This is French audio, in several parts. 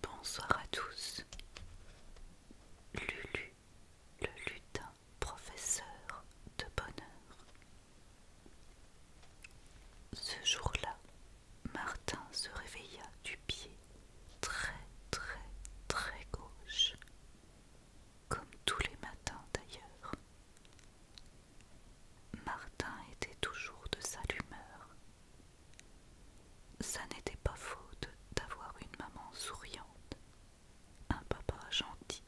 Bonsoir à tous. Lulu, le lutin, professeur de bonheur. Ce jour-là, Martin se réveilla du pied très très très gauche comme tous les matins d'ailleurs. Martin était toujours de sa humeur. Ça n'était pas faute d'avoir une maman souriante, un papa gentil,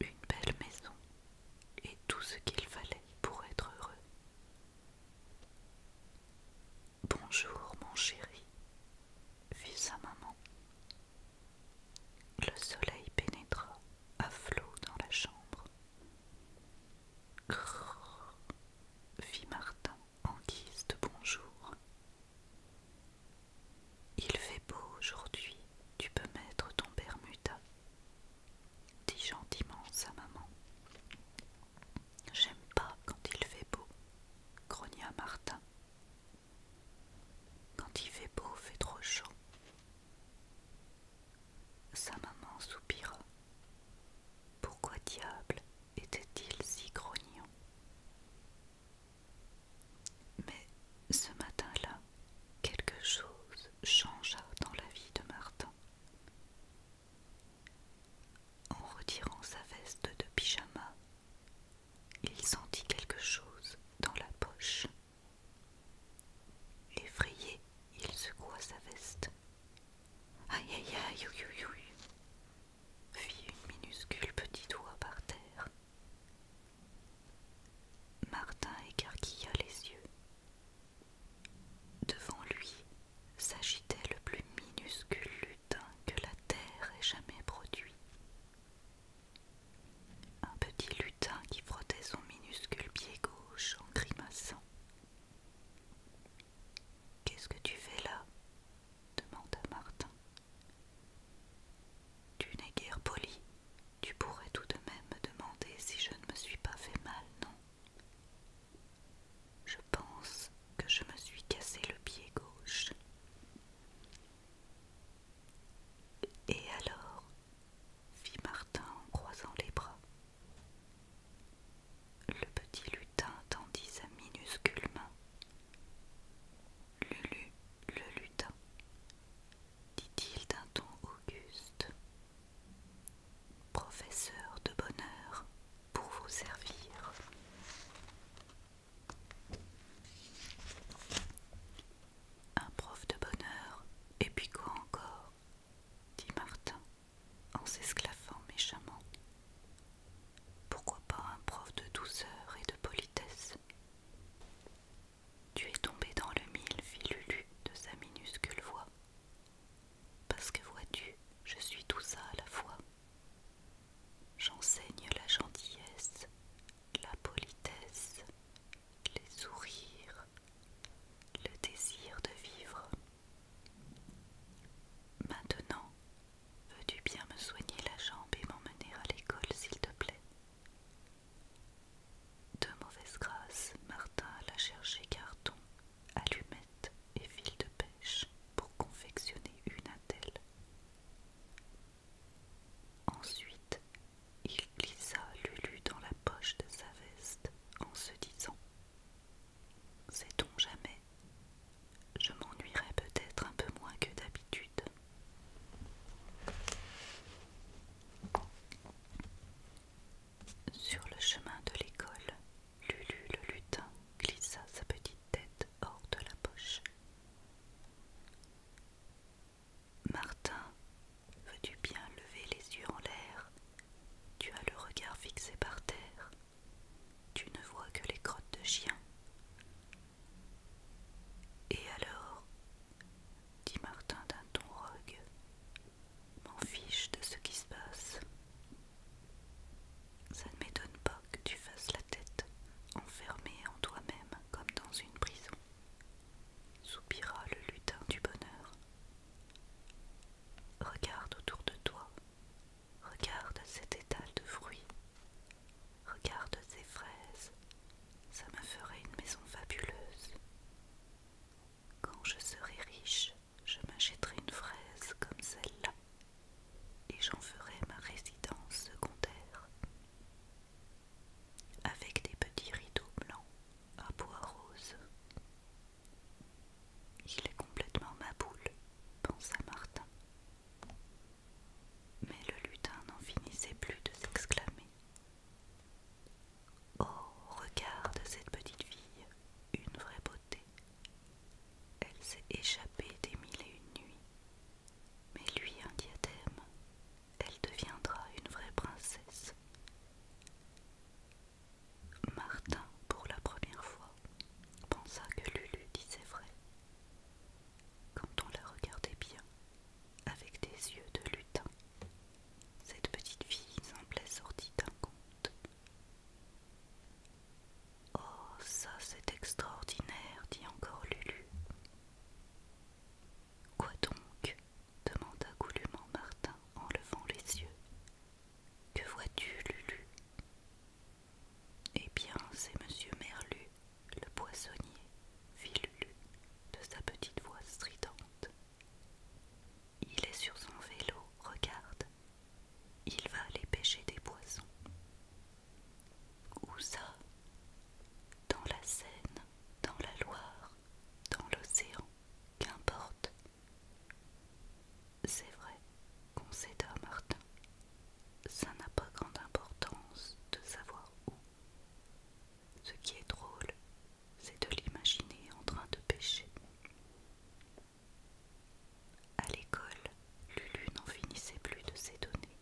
une belle maison et tout ce qu'il fallait pour être heureux. Bonjour mon chéri, fit sa maman. Le soleil pénétra à flot dans la chambre. Grrr, fit Martin en guise de bonjour. Il fait beau aujourd'hui, tu peux mettre ton Bermuda, dit gentiment sa maman. J'aime pas quand il fait beau, grogna Martin quand il fait beau, fait trop chaud. Sa maman soupira. Pourquoi diable était-il si grognon Mais ce matin-là, quelque chose changea dans la vie de Martin. En retirant sa veste de pyjama il sentit quelque chose dans la poche. Effrayé, il secoua sa veste. Aïe aïe aïe aïe fit une minuscule petit doigt par terre. Martin écarquilla les yeux. Devant lui s'agitait le plus minuscule que la terre ait jamais produit. Un petit lutin qui frottait son minuscule pied gauche en grimaçant. Qu'est-ce que tu fais là demanda Martin. Tu n'es guère poli. Tu pourrais tout de même me demander si je ne me suis pas fait mal, non Je pense que je me suis cassé le pied gauche. Et alors fit Martin en croisant les bras. Le petit lutin tendit sa minuscule main. Lulu, le lutin, dit-il d'un ton auguste. Professeur de bonheur, pour vous servir. Un prof de bonheur, et puis quoi encore dit Martin en s'esclaffant méchamment. Pourquoi pas un prof de douceur et de politesse Tu es tombé dans le mille, fit Lulu de sa minuscule voix. Parce que vois-tu, je suis tout ça à la fois. J'enseigne la gentillesse, la politesse, les sourires, le désir de vivre. Maintenant, veux-tu bien me soigner la jambe et m'emmener à l'école, s'il te plaît De mauvaise grâce, Martin alla chercher Carton allumettes et fils de pêche pour confectionner une attelle. Ensuite, il glissa Lulu dans la poche de sa veste en se disant Sait-on jamais Je m'ennuierai peut-être un peu moins que d'habitude. Sur le chemin de l'école, Lulu le lutin glissa sa petite tête hors de la poche. Martin, veux-tu bien lever les yeux en l'air Tu as le regard fixé par terre. Tu ne vois que les crottes de chien Et alors dit Martin d'un ton rogue. M'en fiche de ce qui se passe. Ça ne m'étonne pas que tu fasses la tête enfermée en toi-même comme dans une prison, soupira le lutin du bonheur. Regarde autour de toi, regarde cet étal de fruits, regarde ces fraises, ça me ferait une maison fabuleuse. Quand je serai riche, je m'achèterai une fraise comme celle-là et j'en ferai ma résidence secondaire avec des petits rideaux blancs à bois rose. Il est complètement ma boule, pensa Martin. Mais le lutin n'en finissait plus de s'exclamer. Oh, regarde cette petite fille, une vraie beauté, elle s'est échappée des mille et une nuits. Mais lui, un diadème, elle deviendra une vraie princesse. Martin, pour la première fois, pensa que Lulu disait vrai. Quand on la regardait bien, avec des yeux de lutin, cette petite fille semblait sortie d'un conte. Oh, ça c'est extraordinaire, dit encore Lulu. Quoi donc demanda goulûment Martin en levant les yeux. Que vois-tu, Lulu Eh bien, c'est Monsieur Merlu, le poissonnier, fit Lulu de sa petite voix stridente. Il est sur son vélo, regarde. Il va aller pêcher des poissons. Où ça Dans la Seine, dans la Loire, dans l'océan, qu'importe. C'est vrai, concéda Martin. Ça n'a pas grande importance de savoir où. Ce qui est drôle, c'est de l'imaginer en train de pêcher. À l'école, Lulu n'en finissait plus de ses données.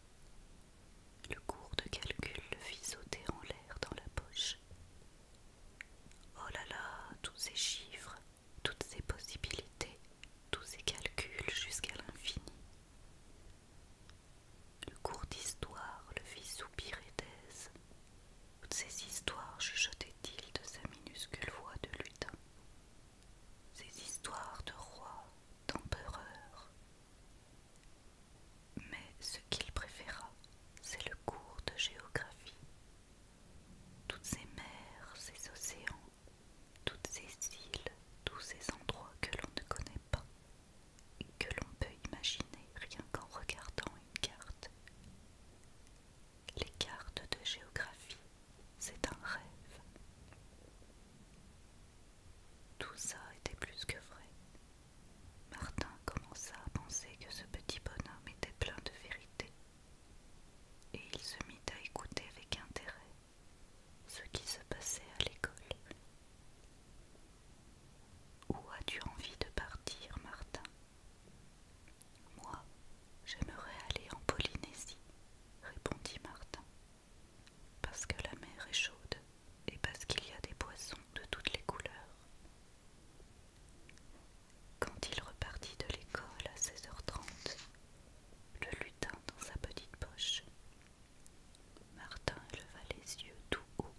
Le cours de calcul le fit sauter en l'air dans la poche. Oh là là, tous ces chiffres, toutes ces possibilités, tous ces calculs jusqu'à l'infini. Le cours d'histoire le fit soupirer d'aise toutes ces histoires chuchotait-il de sa minuscule voix de lutin. Ces histoires de rois, d'empereurs. Mais ce qu'il préféra, c'est le cours de géographie. Toutes ces mers, ces océans, toutes ces îles, tous ces endroits que l'on ne connaît pas, et que l'on peut imaginer rien qu'en regardant une carte, les cartes de géographie, c'est un rêve. Tout ça était plus que vrai. Martin commença à penser que ce petit bonhomme était plein de vérité, et il se mit à écouter avec intérêt ce qui se passait à l'école. Où as-tu envie de partir, Martin moi, j'aimerais aller en Polynésie, répondit Martin, parce que la mer est chaude et parce qu'il y a des poissons de toutes les couleurs. Quand il repartit de l'école à 16h30, le lutin dans sa petite poche, Martin leva les yeux tout haut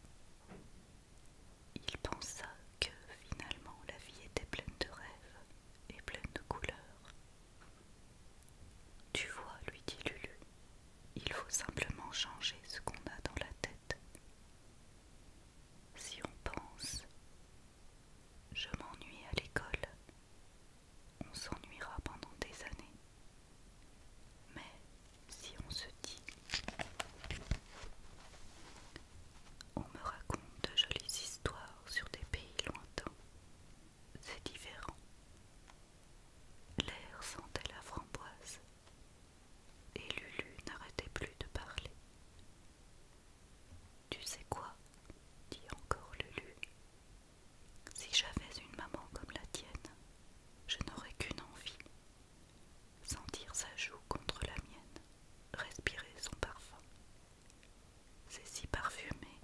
il pensa que finalement la vie était pleine de rêves et pleine de couleurs. Tu vois, lui dit Lulu, il faut simplement changer ce qu'on a dans la tête. Si on pense, je m'ennuie à l'école, on s'ennuiera pendant des années. Mais si on se dit On me raconte de jolies histoires sur des pays lointains. C'est différent. L'air sentait la framboise et Lulu n'arrêtait plus de parler. Tu sais quoi dit encore Lulu. Si j'avais une maman comme la tienne, je n'aurais qu'une envie, sentir sa joue contre la mienne, respirer son parfum. C'est si parfumé,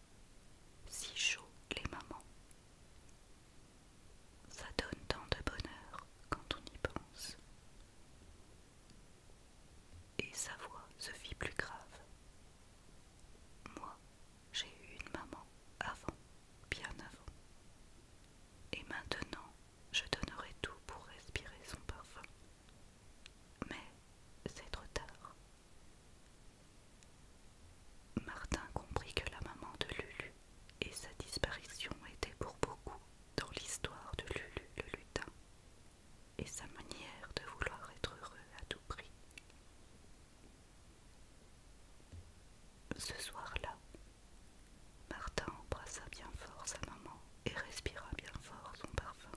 si chaud les mamans. Ça donne tant de bonheur quand on y pense. Et sa voix se fit plus grave. Moi, j'ai eu une maman avant bien avant. Et maintenant, je donnerai tout pour respirer son parfum. Mais c'est trop tard. Martin comprit que la maman de Lulu et sa disparition étaient pour beaucoup dans l'histoire de Lulu le lutin et sa manière de vouloir être heureux à tout prix. Ce soir-là, Martin embrassa bien fort sa maman et respira bien fort son parfum.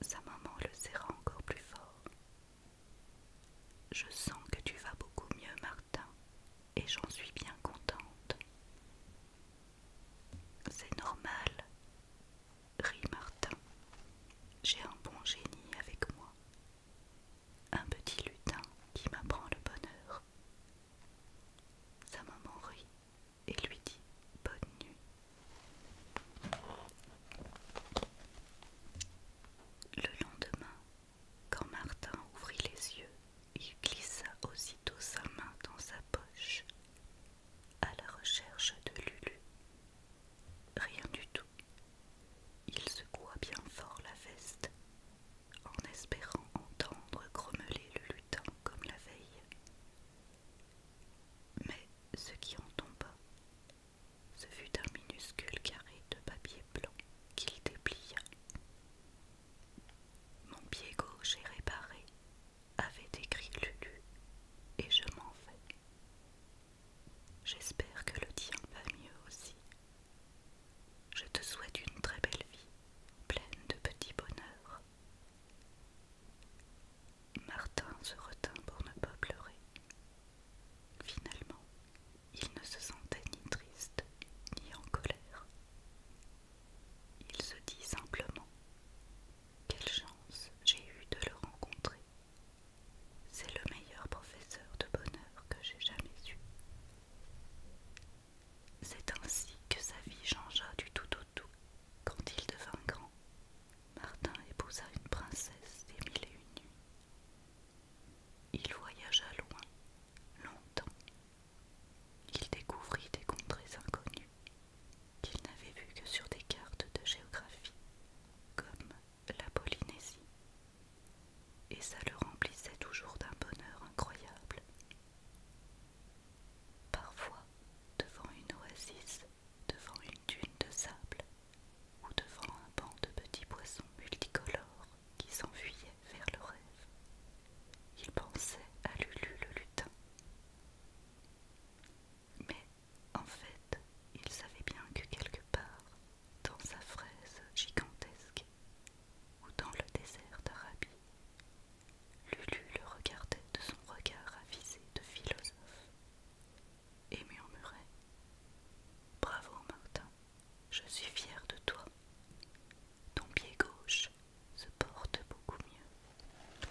Sa maman le serra encore plus fort. Je sens que tu vas beaucoup mieux, Martin, et j'en suis bien contente. C'est normal, rit Martin. J'ai un bon génie avec moi un petit lutin qui m'apprend le bonheur. Sa maman rit et lui dit bonne nuit. Le lendemain, quand Martin ouvrit les yeux, il glissa aussitôt sa main dans sa poche à la recherche de Lulu Rien du tout. Il secoua bien fort la veste, en espérant entendre grommeler le lutin comme la veille. Mais ce qui en tomba, ce fut un minuscule carré de papier blanc qu'il déplia. Mon pied gauche est réparé, avait écrit Lulu, et je m'en vais. J'espère que le tien va mieux aussi. Je te souhaite une très belle vie, pleine de petits bonheurs. Martin se retint pour ne pas pleurer. Finalement, il ne se sentait ni triste ni en colère. Il se dit simplement Quelle chance j'ai eu de le rencontrer. C'est le meilleur professeur de bonheur que j'ai jamais eu. C'est ainsi que sa vie changea du tout au tout quand il devint grand. Martin épousa une princesse des mille et une nuits. Il voyagea loin, longtemps. Il découvrit des contrées inconnues qu'il n'avait vues que sur des cartes de géographie, comme la Polynésie. Et ça le remplissait toujours d'un bonheur incroyable. Parfois, devant une oasis, devant une dune de sable, ou devant un banc de petits poissons multicolores qui s'enfuyaient vers le rêve, il pensait à Lulu le lutin. Mais en fait, il savait bien que quelque part, dans sa fraise gigantesque, ou dans le désert d'Arabie, Lulu le regardait de son regard avisé de philosophe et murmurait Bravo Martin, je suis fier de toi. Ton pied gauche se porte beaucoup mieux.